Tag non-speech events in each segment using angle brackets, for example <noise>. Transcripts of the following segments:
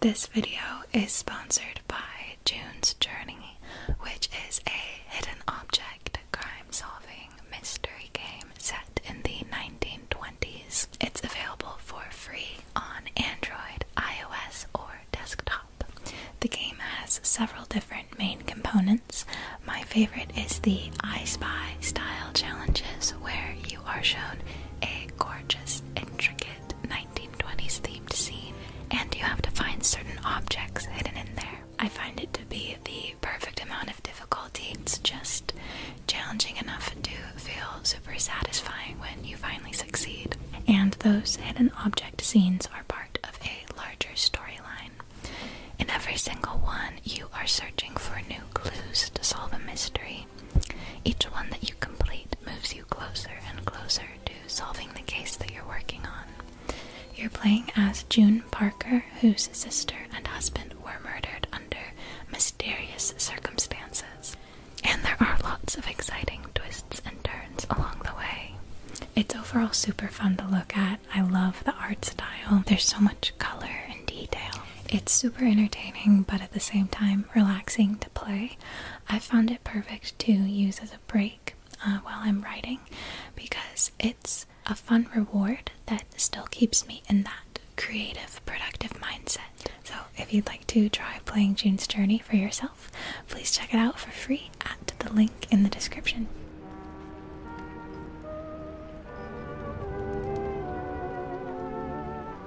This video is sponsored by June's Journey, which is a hidden object crime solving mystery game set in the 1920s. It's available for free on Android, iOS, or desktop. The game has several different main components. My favorite is the I Spy style challenges, where you are shown a gorgeous, intricate 1920s themed scene, and you have to find certain objects hidden in there. I find it to be the perfect amount of difficulty. It's just challenging enough to feel super satisfying when you finally succeed. And those hidden object scenes are part of a larger storyline. In every single one, you are searching for new clues to solve a mystery. Each one that you complete moves you closer and closer to solving the case that you're working on. You're playing as June Parker, whose sister and husband were murdered under mysterious circumstances. And there are lots of exciting twists and turns along the way. It's overall super fun to look at. I love the art style. There's so much color and detail. It's super entertaining, but at the same time, relaxing play, I found it perfect to use as a break uh, while I'm writing because it's a fun reward that still keeps me in that creative, productive mindset. So, if you'd like to try playing June's Journey for yourself, please check it out for free at the link in the description.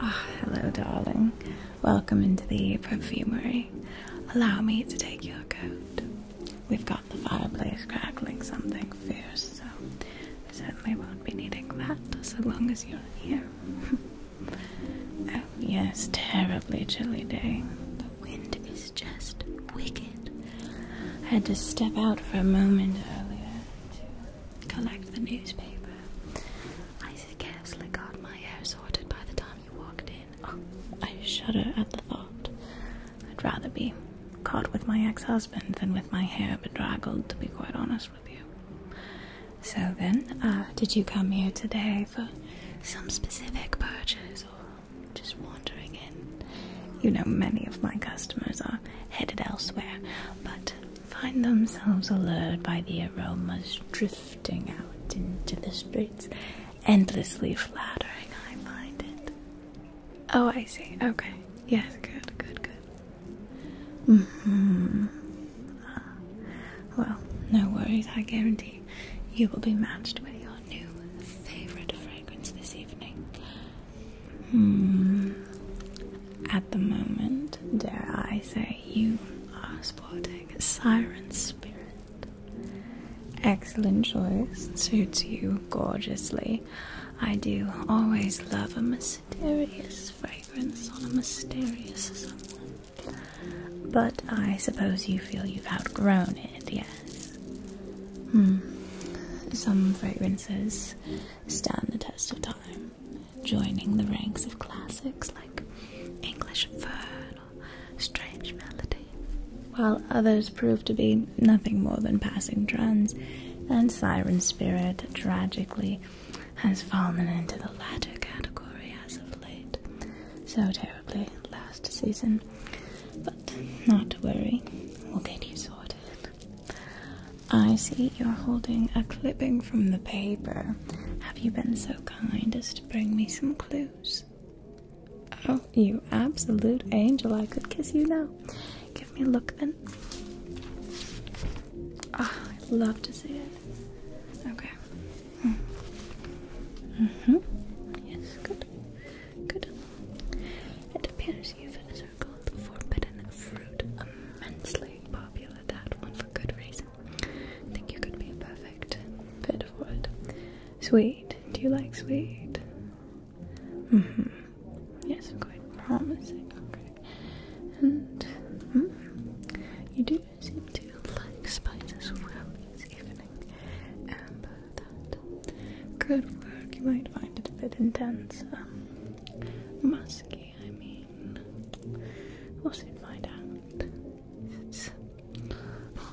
Ah, hello, darling. Welcome into the perfumery. Allow me to take your coat. We've got the fireplace crackling something fierce, so we certainly won't be needing that so long as you're here. <laughs> Oh, yes, terribly chilly day. The wind is just wicked. I had to step out for a moment earlier collect the newspaper. I scarcely got my hair sorted by the time you walked in. Oh, I shudder at the thought. I'd rather be caught with my ex husband than with my hair bedraggled, to be quite honest with you. So then, uh, did you come here today for some specific purchase or just wandering in? You know, many of my customers are headed elsewhere, but find themselves allured by the aromas drifting out into the streets. Endlessly flattering, I find it. Oh, I see. Okay. Yes, good, good, good. Mm-hmm. well, no worries, I guarantee you will be matched with your new favorite fragrance this evening. Hmm. At the moment, dare I say, you are sporting a siren spirit. Excellent choice, suits you gorgeously. I do always love a mysterious fragrance on a mysterious someone. But I suppose you feel you've outgrown it, yes? Hmm. Some fragrances stand the test of time joining the ranks of classics like English Fern or Strange Melody, while others prove to be nothing more than passing trends, and Siren Spirit tragically has fallen into the latter category as of late, so terribly last season. But not to worry, we'll get you sorted. I see you're holding a clipping from the paper. Have you been so kind as to bring me some clues? Oh, you absolute angel. I could kiss you now. Give me a look then. Ah, I'd love to see it. Okay. Mm. hmm mm-hmm. Yes, good. Good. It appears you've circled forbidden fruit immensely popular that one for good reason. I think you could be a perfect fit for it. Sweet. Do you like sweet? Mm-hmm. Yes, quite promising. Okay. And mm-hmm. you do seem to like spiders well this evening. Amber, that could work. You might find it a bit intense. Um, musky I mean, we'll soon find out. It's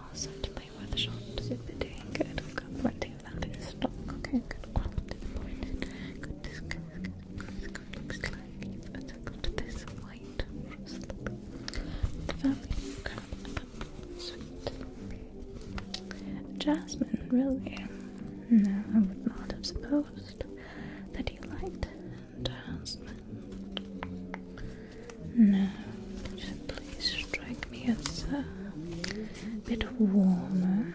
awesome to play with shops good. I've that in stock. Okay, good quality, pointed. Good discount. Good this white rustle. Family crab apple sweet. Jasmine, really? No, I would not have supposed that you liked and husband. Uh, now, just please strike me as a bit warmer.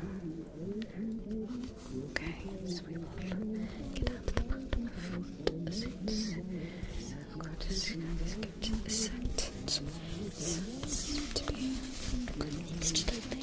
Okay, so we will get out to the bottom of food since I'm going to see to be stitched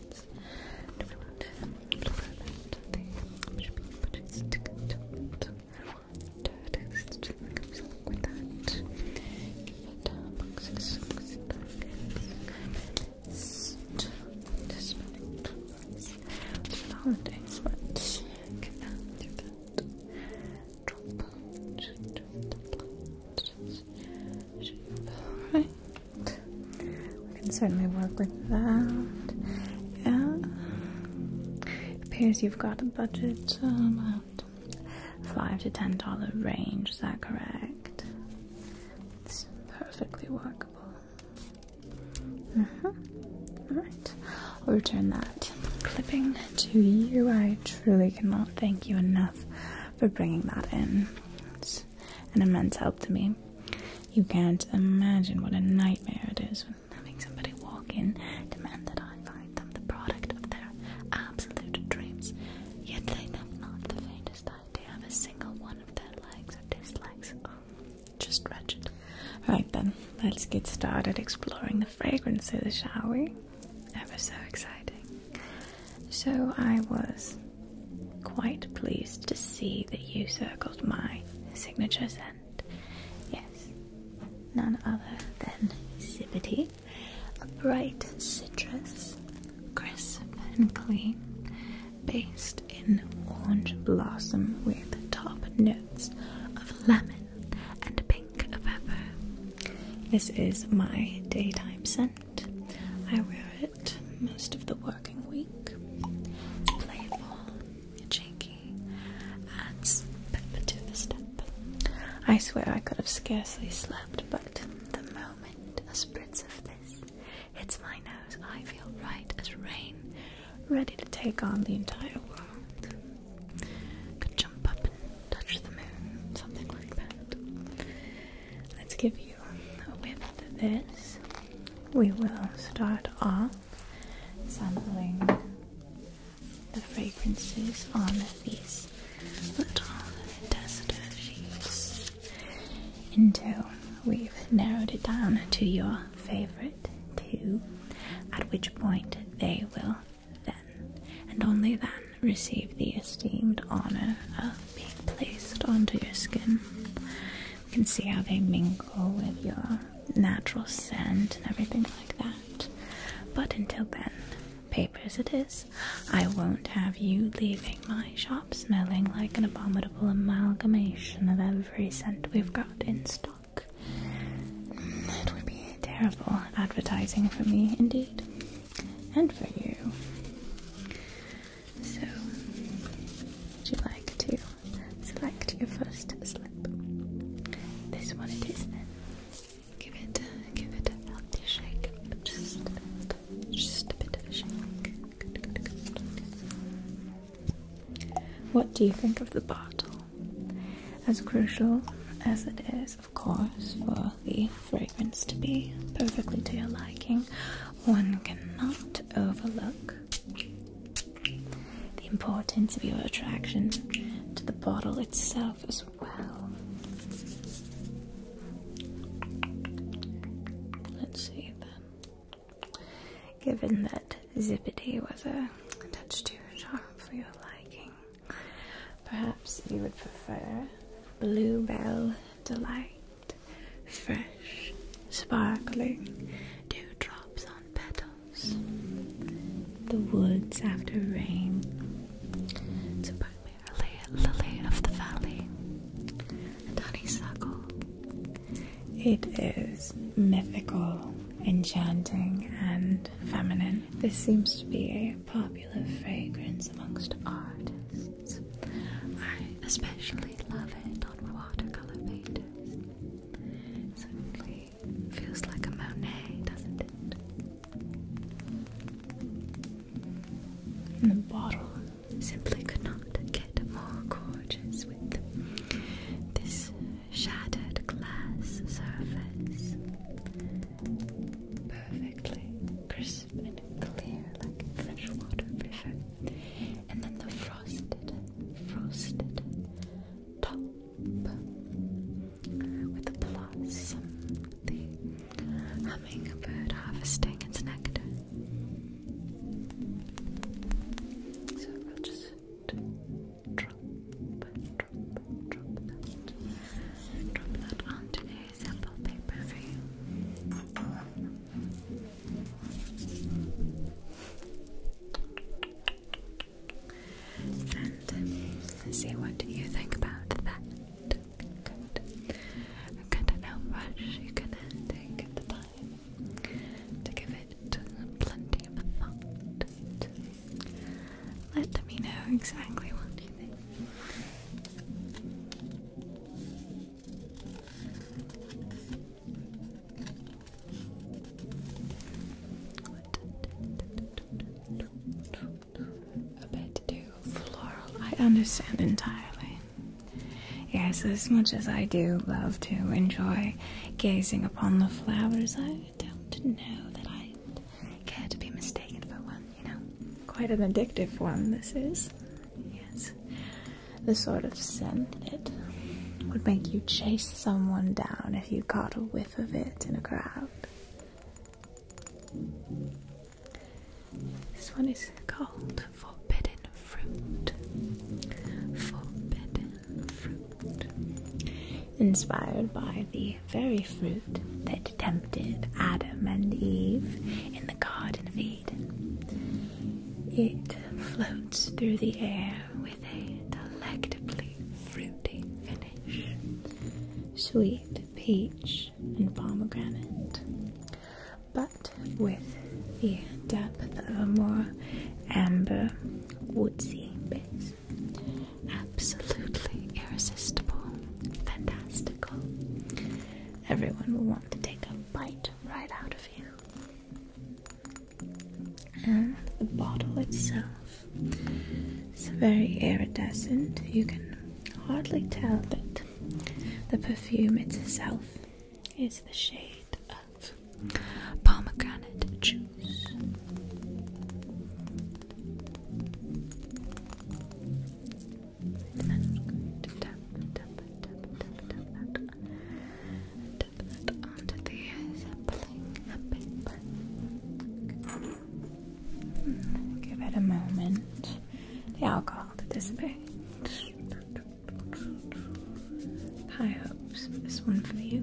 cards. Do we want to prevent the should be put it stick to it? Text comes along with that. And um, box is six cards. Just about the holidays, but cannot do that. Drop out, drop the plants shape. We can certainly work with that. Yeah. appears you've got a budget um, about five to ten dollar range, is that correct? It's perfectly workable. Mm-hmm. Alright. I'll return that clipping to you. I truly cannot thank you enough for bringing that in. It's an immense help to me. You can't imagine what a nightmare it is when having somebody walk in, demand that I find them the product of their absolute dreams, yet they have not the faintest idea of a single one of their likes or dislikes. Oh, just dreadful. Right then, let's get started exploring the fragrances, shall we? Ever so exciting. So I was quite pleased to see that you circled my signature scent. yes, none other than Zippity, a bright citrus, crisp and clean, based in orange blossom with top notes of lemon and pink pepper. This is my daytime scent. I wear it most of the working week. Playful, cheeky, adds pep to the step. I swear I could have scarcely slept, but the moment a spritz of this hits my nose, I feel right as rain, ready to take on the entire world. Could jump up and touch the moon, something like that. Let's give you a whiff of this. We will start off sampling the fragrances on these little tester sheets until we've narrowed it down to your favorite two, at which point they will then, and only then, receive the esteemed honor of being placed onto your skin. You can see how they mingle with your natural scent and everything like that. But until then, papers it is. I won't have you leaving my shop smelling like an abominable amalgamation of every scent we've got in stock. That would be terrible advertising for me indeed and for you. So, would you like to select your first slip? This one it is Give it, uh, give it healthy shake. Just, just a bit What do you think of the bottle? As crucial as it is of course, for the fragrance to be perfectly to your liking, one cannot overlook the importance of your attraction to the bottle itself as well. Let's see then. Given that Zippity was a touch too sharp for your liking, perhaps you would prefer Bluebell delight, fresh, sparkling dewdrops on petals. The woods after rain. primarily lily of the valley honeysuckle. It is mythical, enchanting, and feminine. This seems to be a popular fragrance amongst artists. I especially love it on watercolor painters. It certainly feels like a Monet, doesn't it? And the bottle simply could not get more gorgeous with this shattered glass surface. Perfectly crisp and clear like a freshwater river. And then the frosted, frosted top with a blossom, the hummingbird harvesting its nectar. So we'll just drop, drop, drop that, drop that onto a and see what you think about that. Good. Good. You can take the time to give it plenty of thought. Let me know exactly what you think. A bit too floral. I understand entirely. Yes, as much as I do love to enjoy gazing upon the flowers, I don't know that I care to be mistaken for one you know, quite an addictive one this is. Yes. The sort of scent that would make you chase someone down if you caught a whiff of it in a crowd. This one is called Forbidden Fruit. Forbidden Fruit. Inspired by the very fruit that tempted Adam and Eve in the Garden of Eden. It floats through the air with a delectably fruity finish. Sweet peach and pomegranate. But with the depth of a more amber, woodsy base. Absolutely irresistible, fantastical, everyone will want to take a bite right out of you. And the bottle itself is very iridescent. You can hardly tell, but the perfume itself is the shade of pomegranate juice onto the sapling paper. Give it a moment. The alcohol to dissipate. High hopes. This one for you.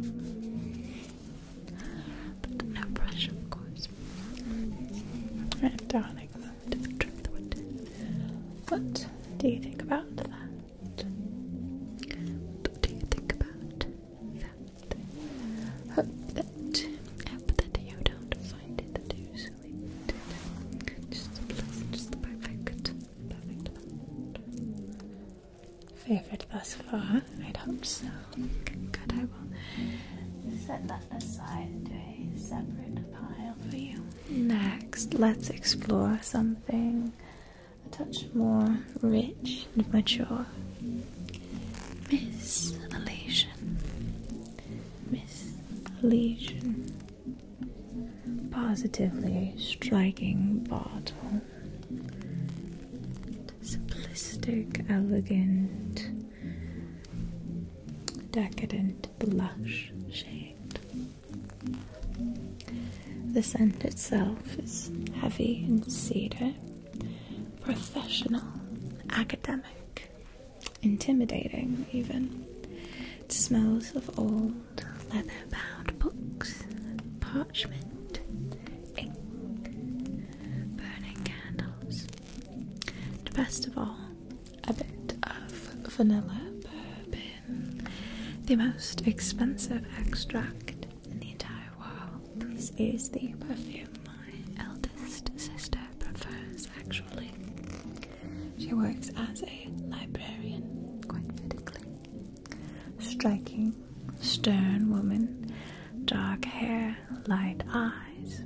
no pressure, of course. And darling, what do you think about that? What do you think about that? Hope that, hope you don't find it too Just listen, perfect, perfect. Favorite thus far? I hope so. Good, I will set that set aside into a separate pile for you. Next, let's explore something a touch more rich and mature. Miss Elysian. Miss Elysian. Positively striking bottle. Simplistic, elegant, decadent blush shade. The scent itself is heavy and cedar, professional, academic, intimidating even. It smells of old leather-bound books, parchment, ink, burning candles. best of all, a bit of vanilla bourbon, the most expensive extract in the entire world. This is the perfume my eldest sister prefers, actually. She works as a librarian, quite fittingly. Striking, stern woman, dark hair, light eyes,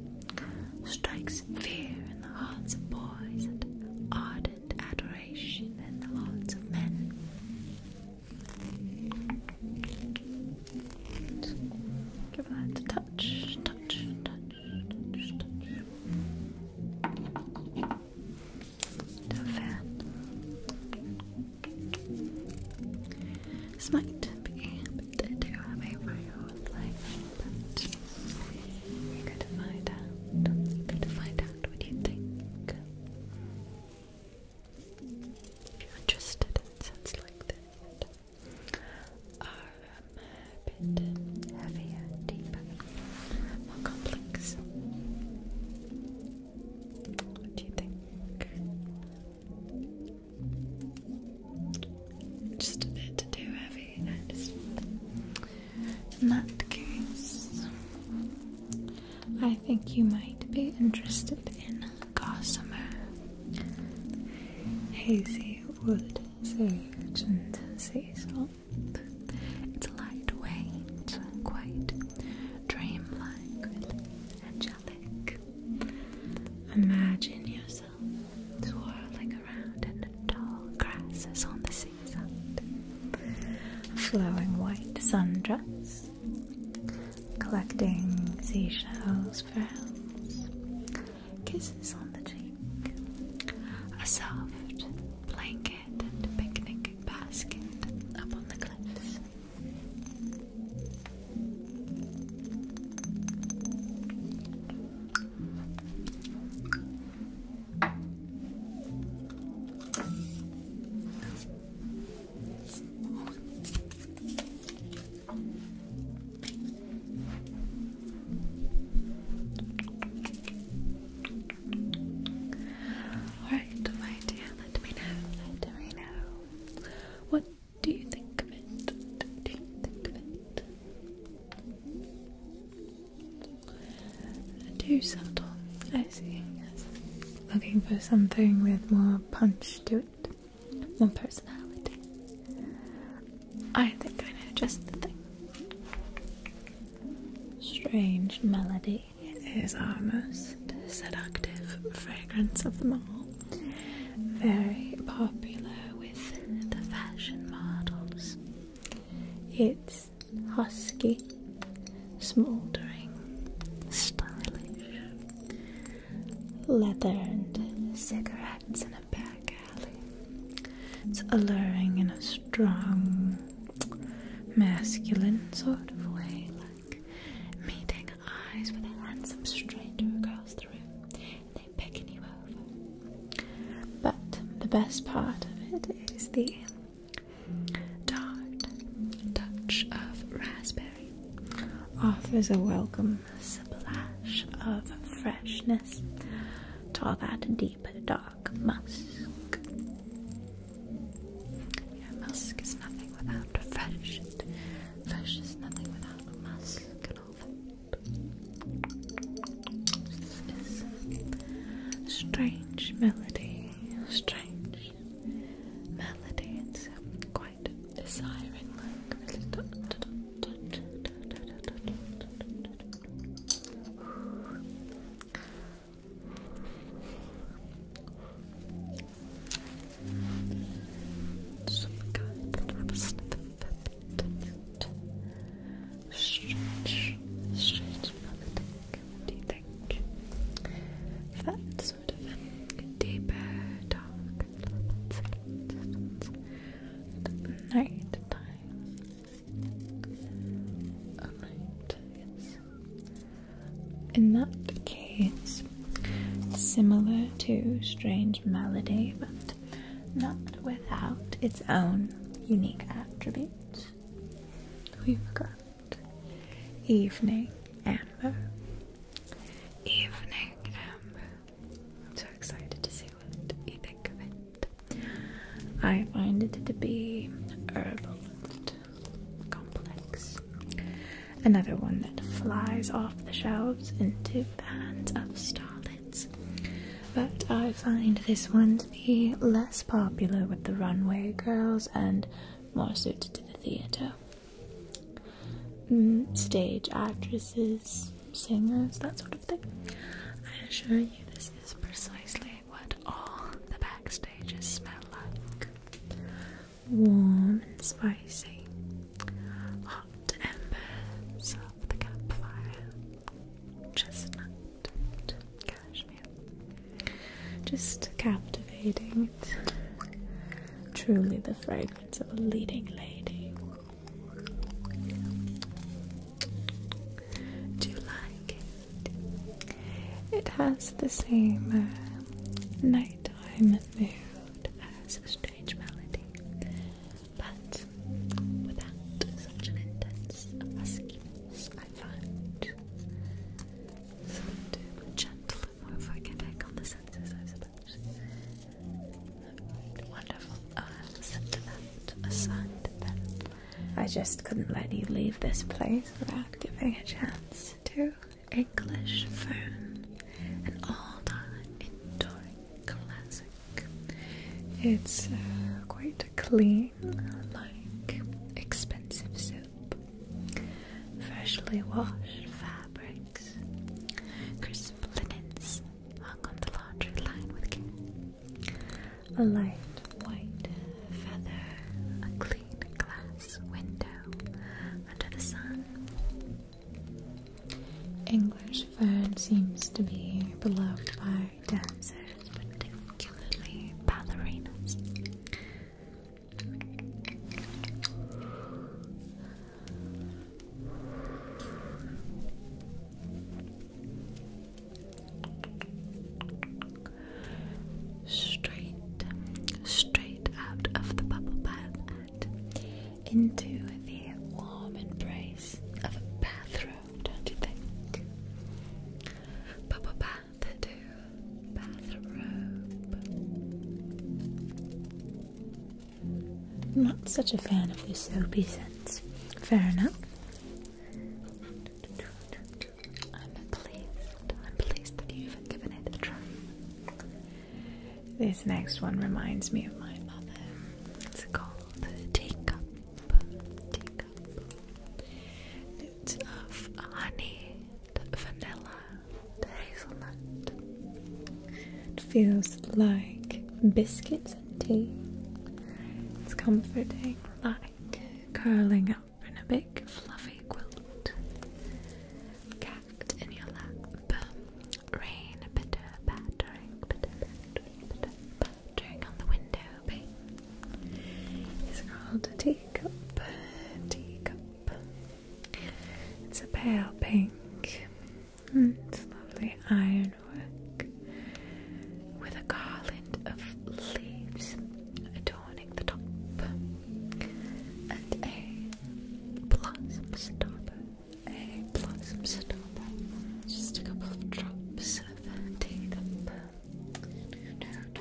strikes fear in the hearts of boys and ardent adoration in the hearts of men. Give that a touch, touch, touch, touch, touch. The fan. This might be to do have a real life but you're going to find out you're going to find out what you think if you're interested in sounds like this are a um, bit heavier, deeper, more complex what do you think? Just a bit too heavy. I just, in that case, I think you might be interested in gossamer, hazy wood, sage, and sea salt. It's lightweight, quite dreamlike, angelic. Imagine yourself Twirling around in the tall grasses on the seaside. A flowing white sundress, collecting seashells, for pearls, kisses on the cheek, a soft blanket and picnic basket up on the cliffs. Alright, my dear, let me know, let me know. What do you think of it? Do you think of it? Too subtle. I see. Looking for something with more punch to it, more personality. I think I know just the thing. Strange melody is our most seductive fragrance of them all. Very popular the fashion models. It's husky, smouldering, stylish. Leather and cigarettes in a back alley. It's alluring in a strong, masculine sort of way, like meeting eyes with a handsome stranger across the room. But the best part of it is the tart touch of raspberry offers a welcome splash of freshness to all that deep dark musk. musk is nothing without fresh. Fresh is nothing without musk strange melody, strange melody. It's quite desiring, like stretch, stretch politics. do you think? That sort of deeper dark night In that case, similar to Strange Melody, but not without its own unique attributes. We've got evening amber. Evening amber. I'm so excited to see what you think of it. I find it to be herbal and complex. Another one that flies off the shelves into pans of starlight. But I find this one to be less popular with the runway girls and more suited to the theatre. Mm, stage actresses, singers, that sort of thing. I assure you, this is precisely what all the backstages smell like warm and spicy hot embers of the campfire, chestnut and cashmere. Just captivating. truly the fragrance of a leading lady. Do you like it? It has the same uh, nighttime mood as a stage melody, but without such an intense huskiness, I find some do gentle and more forgiving on the senses, I suppose. Wonderful. Uh, sentiment, a sentiment. I just couldn't let you leave this place without giving a chance to English fern and all the indoor classic. It's uh, quite clean, like expensive soap. Freshly washed fabrics, crisp linens hung on the laundry line with A light white feather, a clean glass window under the sun, English fern seems to be beloved by dancers, particularly ballerinas. Straight, straight out of the bubble bath into the warm embrace of a bathrobe, don't you think? Bubble bath bathrobe. I'm not such a fan of the soapy scents. Fair enough. I'm pleased. I'm pleased that you've given it a try. This next one reminds me of my mother. It's called teacup, teacup. Notes of honey, vanilla, hazelnut. It feels like biscuits and tea. It's comforting, like curling up in a big fluffy quilt, capped in your lap. Rain pitter pattering, on the window pane. These are all a teacup. It's a pale pink. It's lovely ironwork with a garland of leaves adorning the top and a blossom stopper plot some stop. Just a couple of drops of Tatum. Perfect.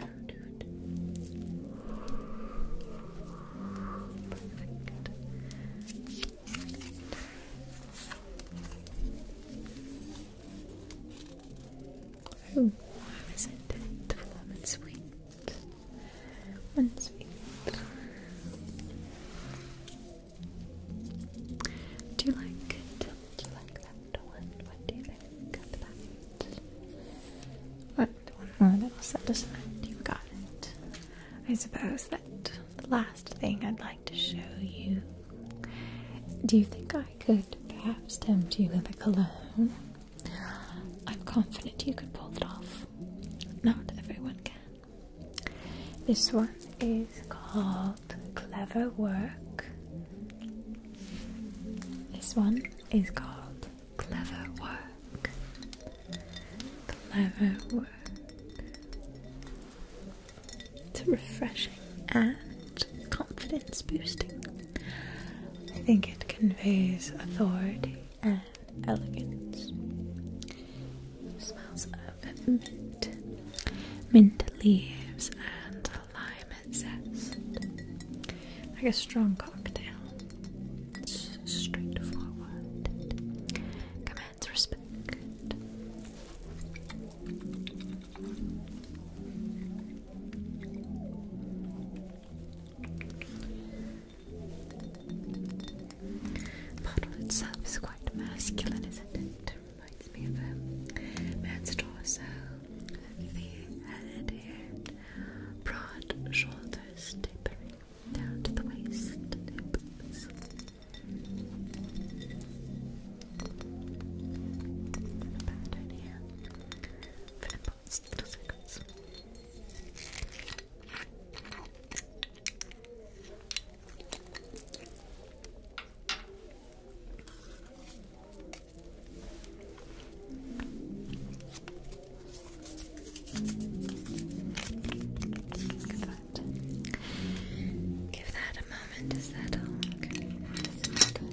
Oh, it? The warm and sweet. And do you like Do you like that one? What do you think of that? What one more little set aside? You got I suppose that the last thing I'd like to show you. Do you think I could perhaps tempt you with a cologne? I'm confident you could pull it off. Not everyone can. This one is called Clever Work. This one is called Clever Work. Clever Work. It's refreshing and confidence boosting. I think it conveys authority and elegance. Smells of mint, mint leaves, and lime zest. Like a strong cocktail. It's straightforward. Commands respect. The bottle itself is quite masculine, isn't it? reminds me of a man's torso, the head here, broad shoulders tapering down to the waist nips. A pattern here for nipples, little circles. Give that a moment to settle. Good,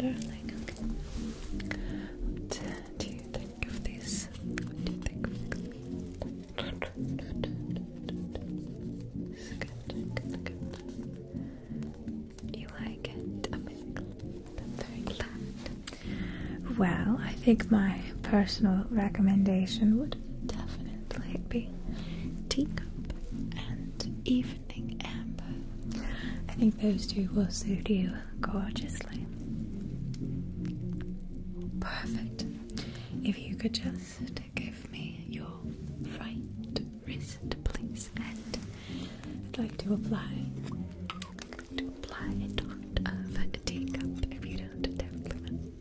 good, good. you Okay. What do you think of these? What do you think you like it? Well, I think my personal recommendation would definitely be teacup and evening amber. I think those two will suit you gorgeously. Perfect. If you could just give me your right wrist, please, and I'd like to apply to apply a dot if you don't compliment.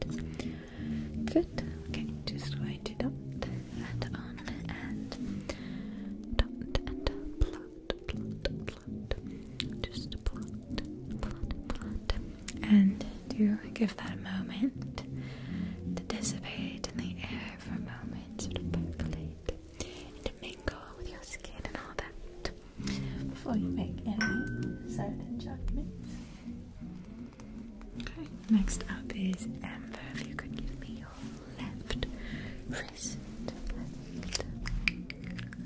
Good. Okay, just going to dot and on and dot and plot, plot, plot. Just plot, and do give that a moment to dissipate in the air for a moment, sort to mingle with your skin and all that before you make any certain judgments. Okay, next up is Amber. If you could give me your left wrist.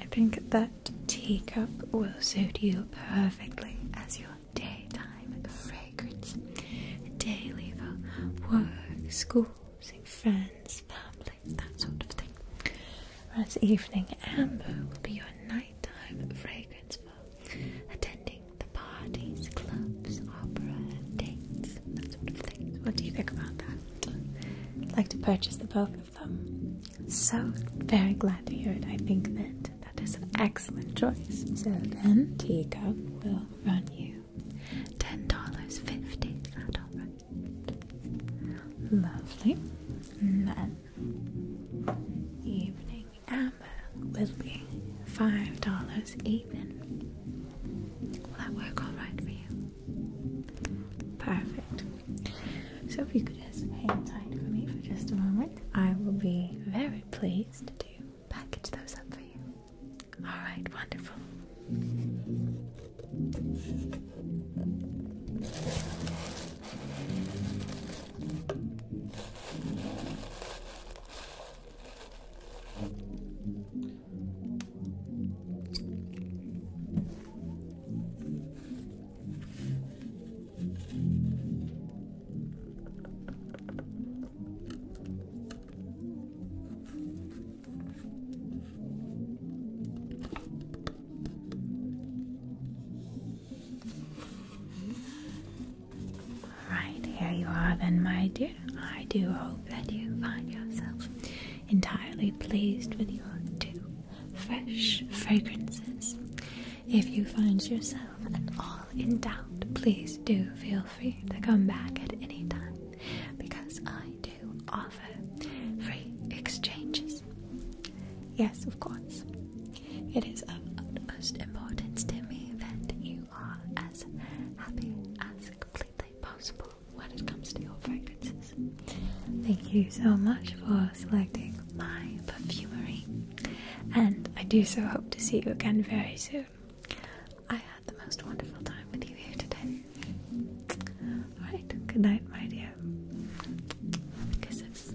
I think that teacup will suit you perfectly as your daytime fragrance. daily for work, schools, friends, family, that sort of thing. Whereas evening amber will be your nighttime fragrance for attending the parties, clubs, opera, dates, that sort of thing. What do you think about that? I'd like to purchase the both so, very glad to hear it. I think that that is an excellent choice. So then, Tico will run you $10.50. Lovely. then, Evening Amber will be $5 even. Will that work alright for you? Perfect. So if you could just hang tight for me for just a moment, I will be very pleased to package those up for you. All right, wonderful. Right, here you are, then, my dear. I do hope that you find yourself entirely pleased with your two fresh fragrances. If you find yourself at all in doubt, please do feel free to come back at any time because I do offer free exchanges. Yes, of course. It is of utmost importance to me that you are as happy as completely possible when it comes to your fragrances. Thank you so much for selecting my perfumery, and I do so hope to see you again very soon. I had the most wonderful time with you here today. Alright, good night, my dear. Kisses.